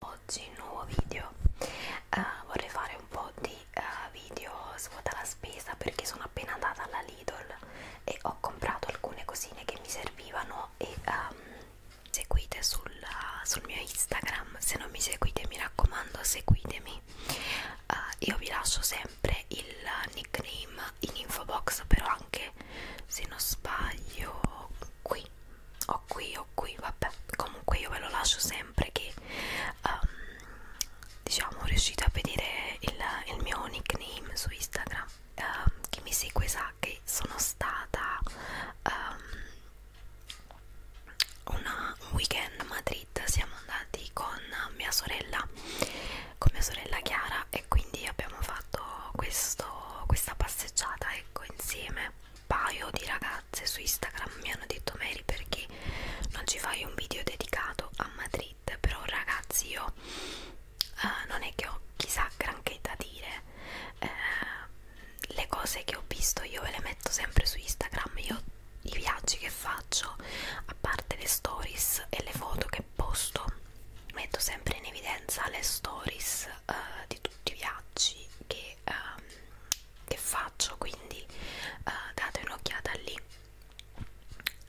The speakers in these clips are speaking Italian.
Oggi nuovo video, uh, vorrei fare un po' di uh, video svuota la spesa perché sono appena andata alla Lidl e ho comprato alcune cosine che mi servivano e um, seguite sul, uh, sul mio Instagram, se non mi seguite mi raccomando seguitemi, uh, io vi lascio sempre il nickname in info box però anche se non sbaglio qui o qui o qui vabbè comunque io ve lo lascio sempre che um, diciamo riuscite a vedere il, il mio nickname su Instagram uh, chi mi segue sa che sono stata um, una, un weekend a Madrid siamo andati con mia sorella con mia sorella Chiara e quindi abbiamo fatto questo, questa passeggiata ecco insieme un paio di ragazzi ragazze su Instagram mi hanno detto Mary perché non ci fai un video dedicato a Madrid però ragazzi io uh, non è che ho chissà granché da dire uh, le cose che ho visto io ve le metto sempre su Instagram io i viaggi che faccio a parte le stories e le foto che posto metto sempre in evidenza le stories uh, di tutti i viaggi che che, um, che faccio quindi uh, date un'occhiata lì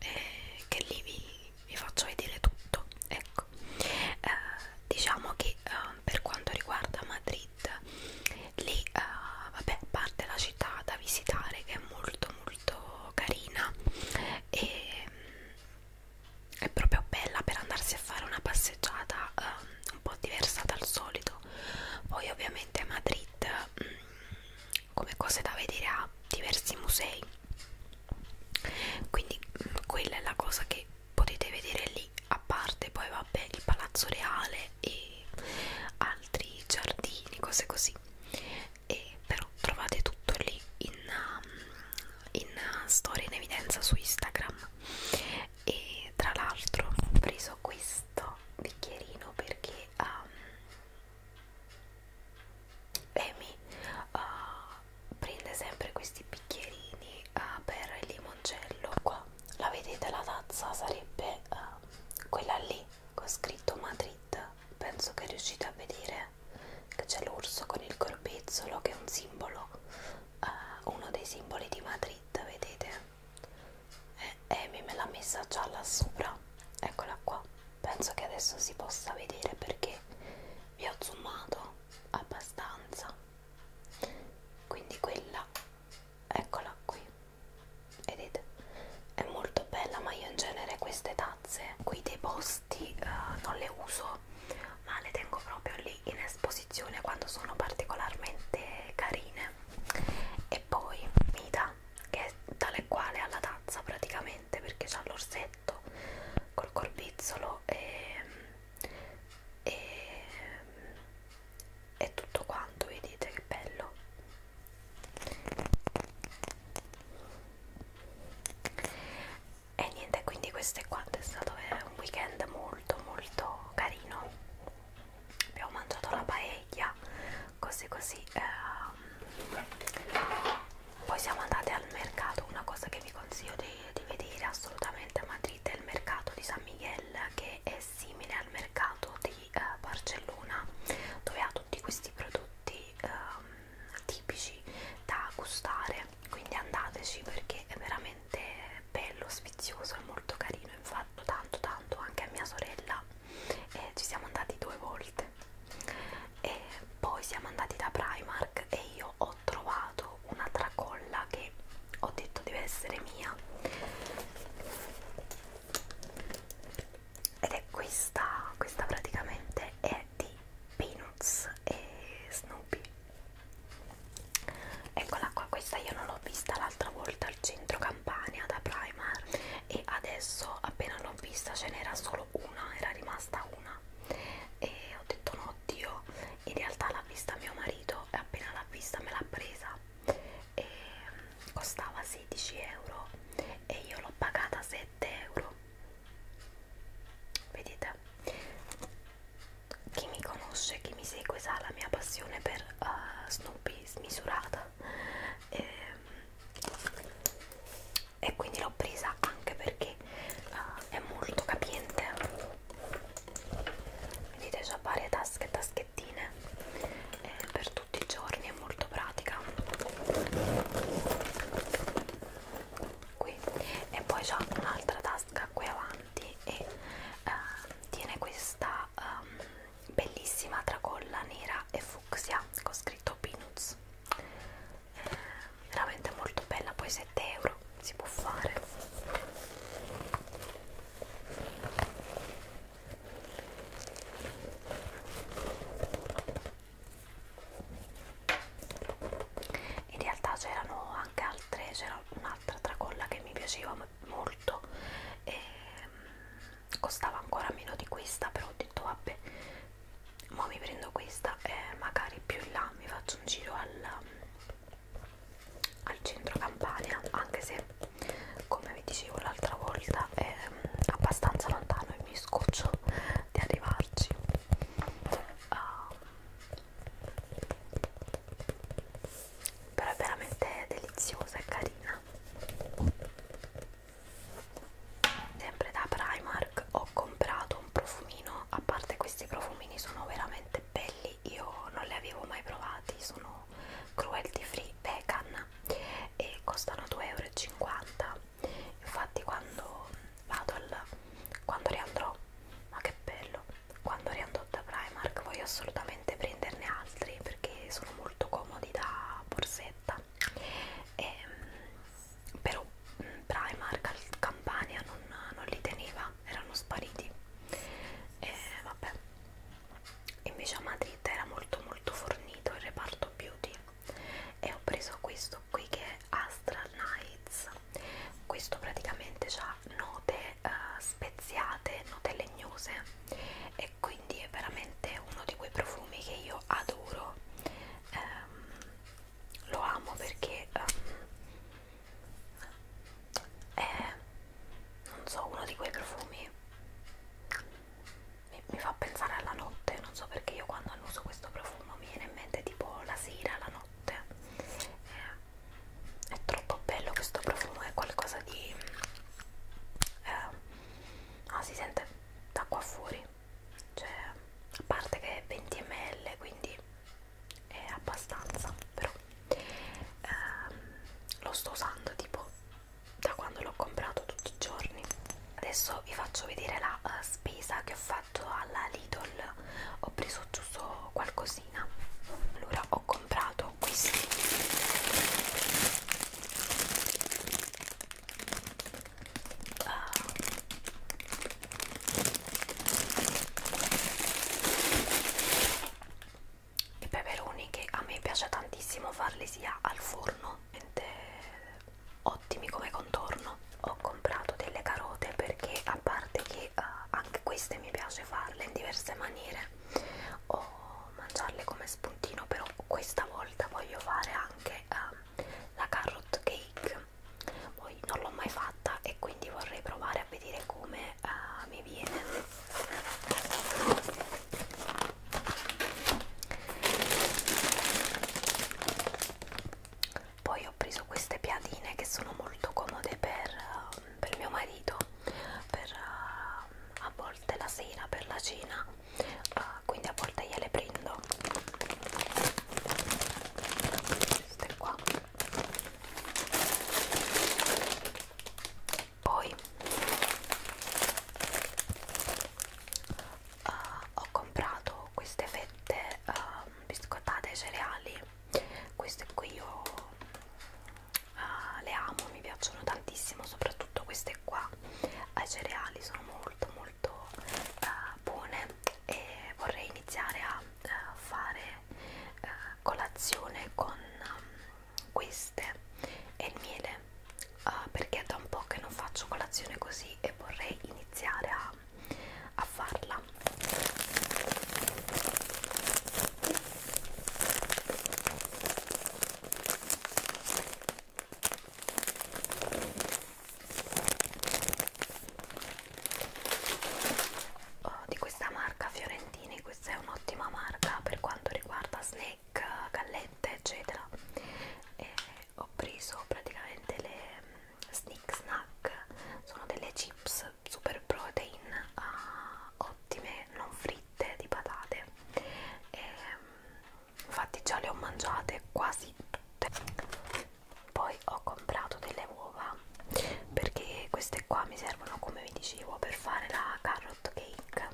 eh, che lì vi, vi faccio vedere tutto ecco uh, diciamo che uh, per quanto riguarda Madrid lì uh, vabbè parte la città da visitare che è molto molto carina e ehm, è proprio bella per andarsi a fare una passeggiata um, un po' diversa dal solito poi ovviamente a Madrid mm, come cose da vedere ha diversi musei quindi mm, quella è la cosa che potete vedere lì a parte poi vabbè il palazzo reale e altri giardini cose così e però trovate tutto lì in, mm, in uh, storia in evidenza su Instagram e tra l'altro ho preso questo bicchierino perché um, Amy uh, prende sempre questi bicchierini uh, per il limoncello qua la vedete la tazza sarebbe uh, quella lì con scritto Madrid penso che riuscite a vedere che c'è l'orso con il corbezzolo che è un simbolo uh, uno dei simboli di Madrid, vedete? E Amy me l'ha messa già là sopra, eccola qua. Penso che adesso si possa vedere perché vi ho zoomato abbastanza. Quindi quella, eccola qui, vedete? È molto bella, ma io in genere queste tazze qui dei posti uh, non le uso, ma le tengo proprio lì poi in esposizione quando sono particolarmente carine e poi Mida che è tale quale alla tazza praticamente perché c'ha l'orsetto col corpizzolo e, e, e tutto quanto vedete che bello e niente quindi questo è quanto è stato un weekend molto molto molto carino abbiamo mangiato la paella così così ehm. poi siamo andate al mercato una cosa che vi consiglio di, di vedere assolutamente a Madrid è il mercato di San Miguel che è simile al mercato di eh, Barcellona dove ha tutti questi prodotti ehm, tipici da gustare quindi andateci perché è veramente bello, sfizioso, è molto carino, infatti tanto tanto anche a mia sorella eh, ci siamo andati due volte e poi siamo andati da Primark e io ho trovato una tracolla che ho detto deve essere mia ed è questa, questa praticamente è di Peanuts e Snoopy eccola qua questa io non l'ho vista l'altra volta al centro Campania da Primar e adesso appena l'ho vista ce n'era solo una era rimasta una e ho detto no Dio in realtà l'ha vista mio marito e appena l'ha vista me l'ha presa e mm, costava 16 euro e io l'ho pagata 7 euro vedete chi mi conosce, chi mi segue sa la mia passione per uh, Snoopy smisurata e, ehm, e quindi l'ho presa anche perché uh, è molto capiente vedete c'ha varie tasche e taschettine e eh, per tutti i giorni è molto pratica qui e poi c'ha un'altra tasca qui avanti davanti e uh, tiene questa um, bellissima tracolla nera e fucsia con scritto peanuts eh, veramente molto bella poi 7 euro si può fare in realtà c'erano anche altre c'era un'altra tracolla che mi piaceva molto e mm, costava ancora meno di questa però ho detto vabbè ma mi prendo questa e magari più in là mi faccio un giro al, al centro campania anche se come vi dicevo l'altra volta è mm, abbastanza lontano e mi scoccio di arrivarci uh, però è veramente deliziosa e carina sempre da Primark ho comprato un profumino a parte questi profumini sono veramente belli io non li avevo mai provati sono cruelty free vegan e costano 2,50 euro infatti quando vado al quando riandrò ma che bello quando riandò da Primark voglio assolutamente prenderne altri perché sono molto comodi da borsetta e, ehm, però mm, Primark al Campania non, non li teneva, erano spariti e vabbè invece a Madrid era molto molto fornito il reparto beauty e ho preso questo qui che è Astral Nights questo praticamente ha note uh, speziate, note legnose e quindi è veramente uno di quei profumi che io adoro um, lo amo perché um, è non so uno di quei profumi mi, mi fa pensare alla notte non so perché io quando annuso questo profumo mi viene in mente tipo la sera la notte eh, è troppo bello questo profumo è qualcosa di eh, no, si sente da qua fuori cioè a parte che è 20 ml quindi è abbastanza però ehm, lo sto usando tipo da quando l'ho comprato tutti i giorni adesso vi faccio vedere la uh, spesa che ho fatto alla Lidl ho preso giusto qualcosina allora ho comprato questi uh, i peperoni che a me piace tantissimo farli sia al forno ottimi come contorno ho comprato delle carote perché a parte che uh, anche queste queste mi piace farle in diverse maniere o mangiarle come spuntino però questa volta voglio fare anche eh, la carrot cake poi non l'ho mai fatta e quindi vorrei provare a vedere come eh, mi viene poi ho preso queste piadine che sono molto comode per, eh, per mio marito per, eh, a volte la sera per la cena eh, quindi a volte gliele prendo queste qua poi uh, ho comprato queste fette uh, biscottate ai cereali queste qui io uh, le amo mi piacciono tantissimo soprattutto queste qua ai cereali sono molto molto uh, buone e vorrei iniziare a uh, fare uh, colazione con um, queste e il miele uh, perché da un po' che non faccio colazione così e vorrei iniziare a a farla oh, di questa marca Fiorentini questa è un'ottima marca per quanto riguarda snack, gallette eccetera e ho preso praticamente le mm, snick snack sono delle chips super protein uh, ottime non fritte di patate e, ehm, infatti già le ho mangiate quasi tutte poi ho comprato delle uova perché queste qua mi servono come vi dicevo per fare la carrot cake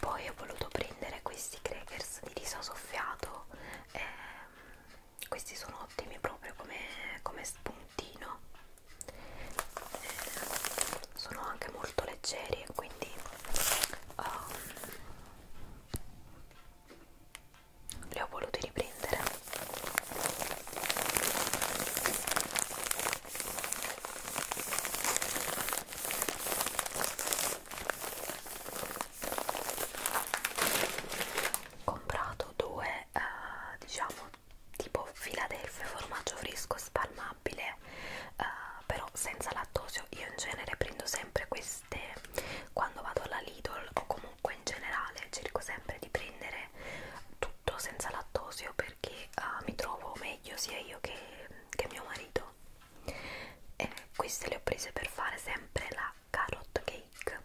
poi ho voluto prendere questi crackers di riso soffiato ehm, questi sono ottimi proprio come, come spuntino eh, sono anche molto leggeri e quindi um, li ho voluti riprendere comprato due è eh, diciamo tipo Philadelphia formaggio fresco spalmabile eh, però senza lattosio io in genere prendo sempre queste quando vado alla Lidl o comunque in generale cerco sempre di prendere tutto senza lattosio perché eh, mi trovo meglio sia io che, che mio marito e queste le ho prese per fare sempre la carrot cake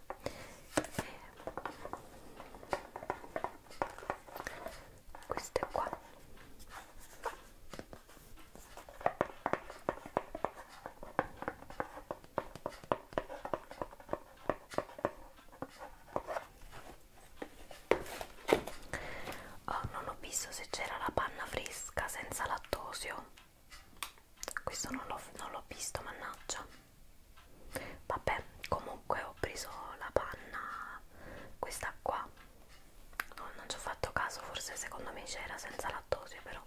e queste qua Oh, non ho visto se c'era la panna fresca senza lattosio questo non l'ho visto mannaggia vabbè comunque ho preso la panna questa qua no, non ci ho fatto caso forse secondo me c'era senza lattosio però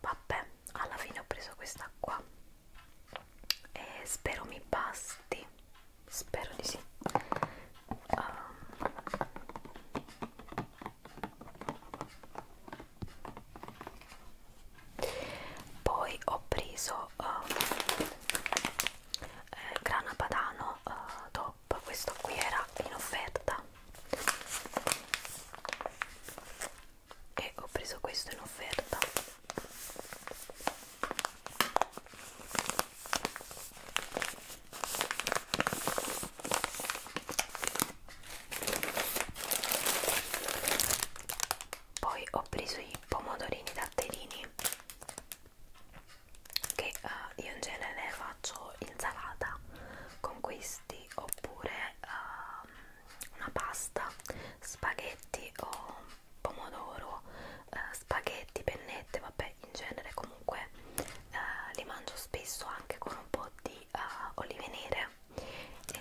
vabbè alla fine ho preso questa qua e spero mi basti spero di sì um, poi ho preso uh, eh, grana padano uh, top questo qui era in offerta e ho preso questo in offerta poi ho preso i pomodorini datterini che uh, io in genere faccio insalata con questi oppure uh, una pasta spaghetti o pomodoro uh, spaghetti pennette vabbè in genere comunque uh, li mangio spesso anche con un po' di uh, olive nere e, ehm,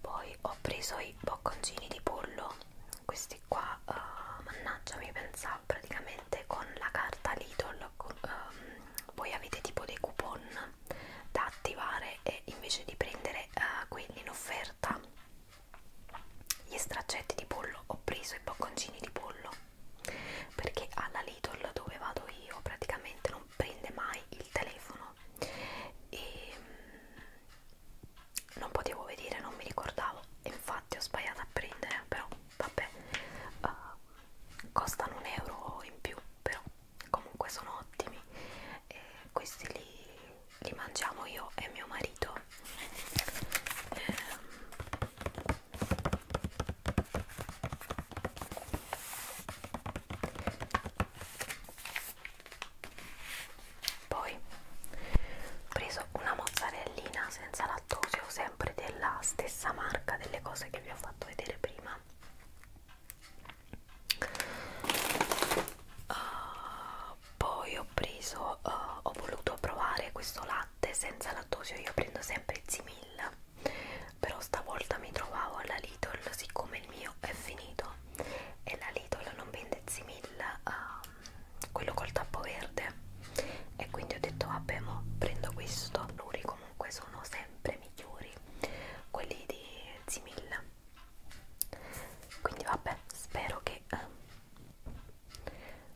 poi ho preso i bocconcini di pollo, questi qua, uh, mannaggia mi pensa praticamente con la carta Lidl, con, um, voi avete tipo dei coupon da attivare e invece di prendere uh, eh, quindi in offerta gli straccetti di pollo ho preso i bocconcini di pollo perché alla Lidl dove vado io praticamente non prende mai il telefono e mm, non potevo vedere, non mi ricordavo infatti ho sbagliato a prendere però vabbè uh, costano un euro in più però comunque sono ottimi e questi li, li mangiamo io e mio marito ehm. poi ho preso una mozzarellina senza lattosio sempre della stessa marca delle cose che vi ho fatto vedere prima Uh, poi ho preso, uh, ho voluto provare questo latte senza lattosio, io prendo sempre Zimil, però stavolta mi trovavo alla Lidl siccome il mio è finito e la Lidl non vende Zimil, uh, ehm, quello col tappo verde e quindi ho detto vabbè mo prendo questo, loro comunque sono sempre migliori quelli di Zimilla quindi vabbè spero che eh,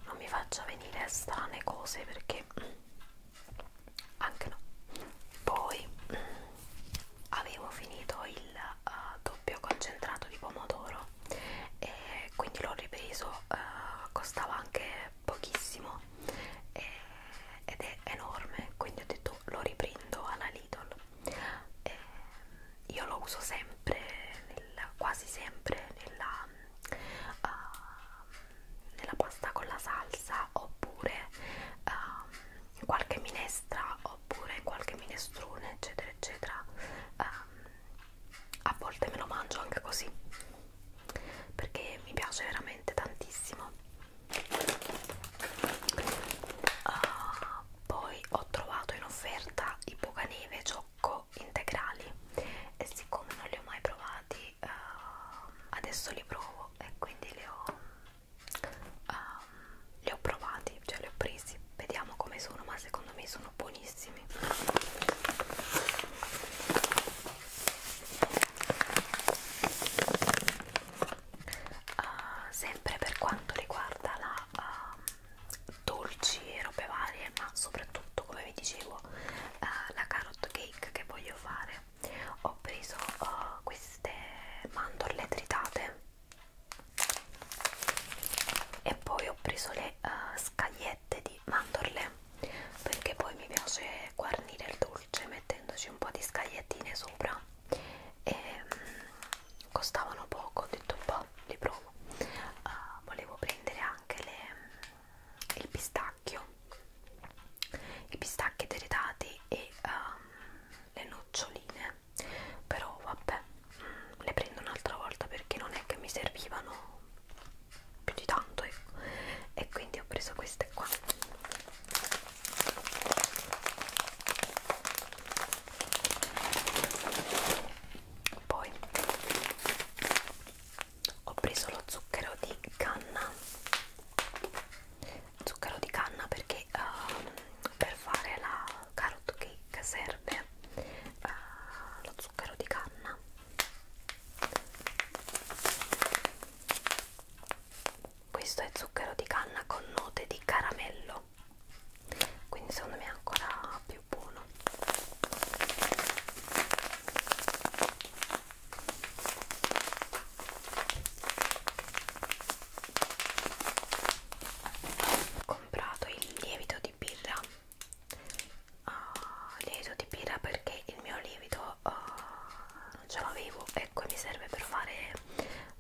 non mi faccia venire strane cose perché mm, anche no poi mm, avevo finito il uh, doppio concentrato di pomodoro e quindi l'ho ripreso uh, costava anche pochissimo e, eh, ed è enorme quindi ho detto lo riprendo alla Lidl e eh, io lo uso sempre nel, quasi sempre nella, uh, nella pasta con la salsa oppure uh, qualche minestra oppure qualche minestrone eccetera eccetera um, a volte me lo mangio anche così perché mi piace veramente tantissimo Uh, poi ho trovato in offerta i bucaneve ciocco integrali e siccome non li ho mai provati uh, adesso li provo e quindi li ho, uh, li ho provati, cioè li ho presi vediamo come sono ma secondo me sono buonissimi Uh, sempre per quanto riguarda la uh, dolci e robe varie, ma soprattutto come vi dicevo uh, la carrot cake che voglio fare, ho preso uh, queste mandorle tritate e poi ho preso le uh, scagliette di mandorle perché poi mi piace guarnire il dolce mettendoci un po' di scagliettine sopra e um, costavano poco, ho detto un boh, po', li provo uh, volevo prendere anche le, mm, il pistacchio i pistacchi deridati e um, le noccioline però vabbè mh, mm, le prendo un'altra volta perché non è che mi servivano più di tanto ecco. e quindi ho preso queste qua poi ho preso lo zucchero di canna zucchero di canna perché uh, per fare la carrot cake serve uh, lo zucchero di canna questo è zucchero di canna con note di caramello quindi secondo me è ancora più buono ho comprato il lievito di birra uh, lievito di birra perché il mio lievito uh, non ce l'avevo ecco mi serve per fare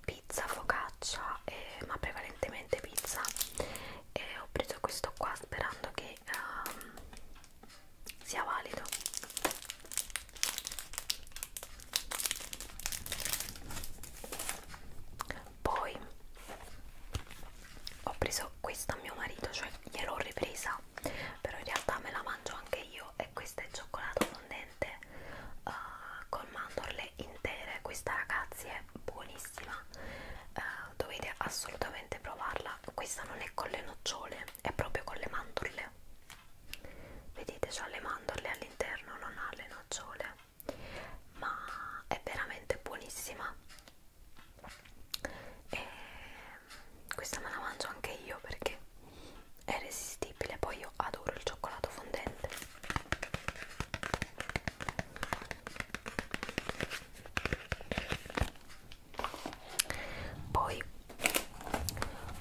pizza focaccia eh, ma prevalentemente pizza e ho preso questo qua sperando che um, sia valido poi ho preso questa a mio marito cioè gliel'ho ripresa sa però in realtà me la mangio anche io e questa è cioccolato fondente uh, eh, con mandorle intere questa ragazzi è buonissima uh, dovete assolutamente provarla questa non è con le nocciole è proprio con le mandorle vedete c'ha le mandorle all'interno non ha le nocciole ma è veramente buonissima e questa me la mangio anche io perché è irresistibile poi io adoro il cioccolato fondente poi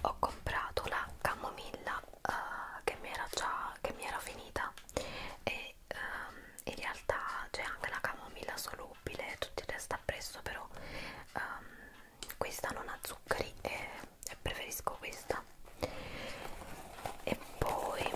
ho comprato la camomilla uh, che mi era già che mi era finita e um, in realtà c'è anche la camomilla solubile tutti e sta presso però um, questa non ha zuccheri e, e preferisco questa e poi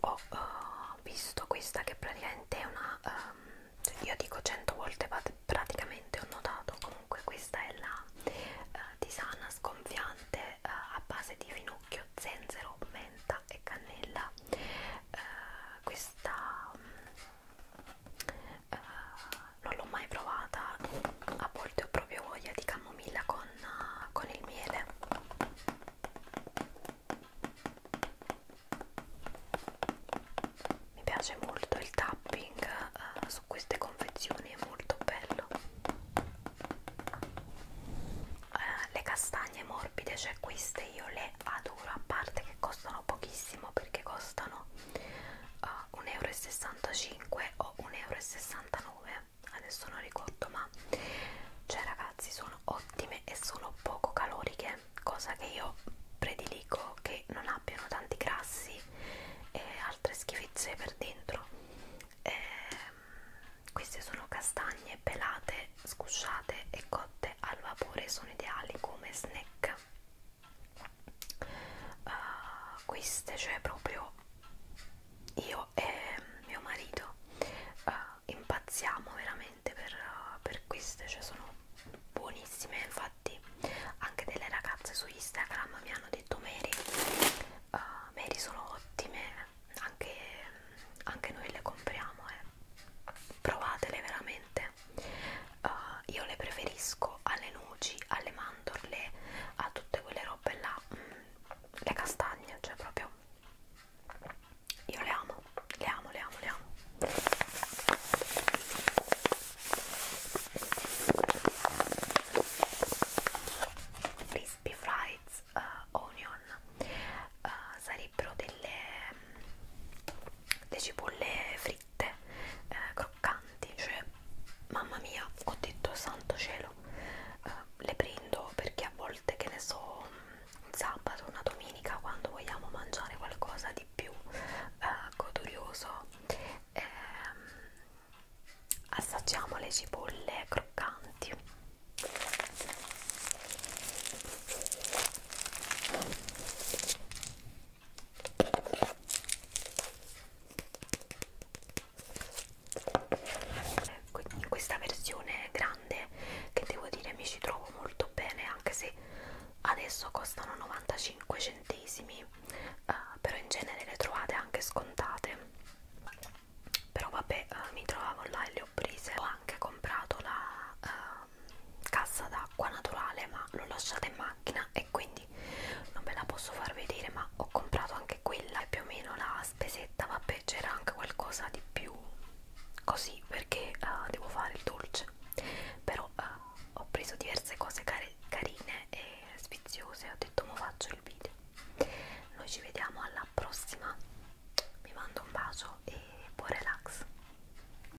ho uh, visto questa che praticamente è una um, io dico 100 volte praticamente ho notato comunque questa è la uh, tisana sgonfiante uh, a base di finocchio zenzero menta e cannella uh, questa um, eh, non l'ho mai provata a volte ho proprio voglia di camomilla con, con il miele mi piace molto il tapping eh, su queste confezioni è molto bello eh, le castagne morbide cioè queste io le adoro a parte che costano pochissimo perché costano uh, eh, 1,65 euro o 1,69 euro adesso non ricordo ma cioè ragazzi sono ottime e sono poco caloriche cosa che io prediligo che non abbiano tanti grassi e altre schifezze per dentro e, ehm, queste sono castagne pelate scusciate e cotte al vapore sono ideali come snack uh, queste cioè proprio io e mio marito uh, impazziamo veramente per, uh, per queste cioè sono buonissime infatti anche delle ragazze su Instagram mi hanno detto Mary uh, Mary sono ottime anche, anche noi le compriamo eh. provatele veramente uh, io le preferisco alle noci, alle mandorle, a tutte quelle robe là, mh, mm, le castagne, cioè proprio io le amo, le amo, le amo, le amo. Crispy Fries uh, Onion uh, sarebbero delle, mm, delle cipolle fritte crocchette eh, croccanti cioè mamma mia ho detto santo cielo eh, le prendo perché a volte che ne so un sabato una domenica quando vogliamo mangiare qualcosa di più eh, godurioso eh, assaggiamo le cipolle croccanti in questa versione grande che devo dire mi ci trovo molto bene anche se adesso costano 95 centesimi eh, però in genere le trovate anche scontate però vabbè eh, mi trovavo là e le ho prese ho anche comprato la eh, cassa d'acqua naturale ma l'ho lasciata in macchina e quindi non ve la posso far vedere ma ho comprato anche quella e più o meno la spesetta vabbè c'era anche qualcosa di più così perché uh, devo fare il dolce però uh, ho preso diverse cose care, carine e sfiziose ho detto ma faccio il video noi ci vediamo alla prossima vi mando un bacio e buon relax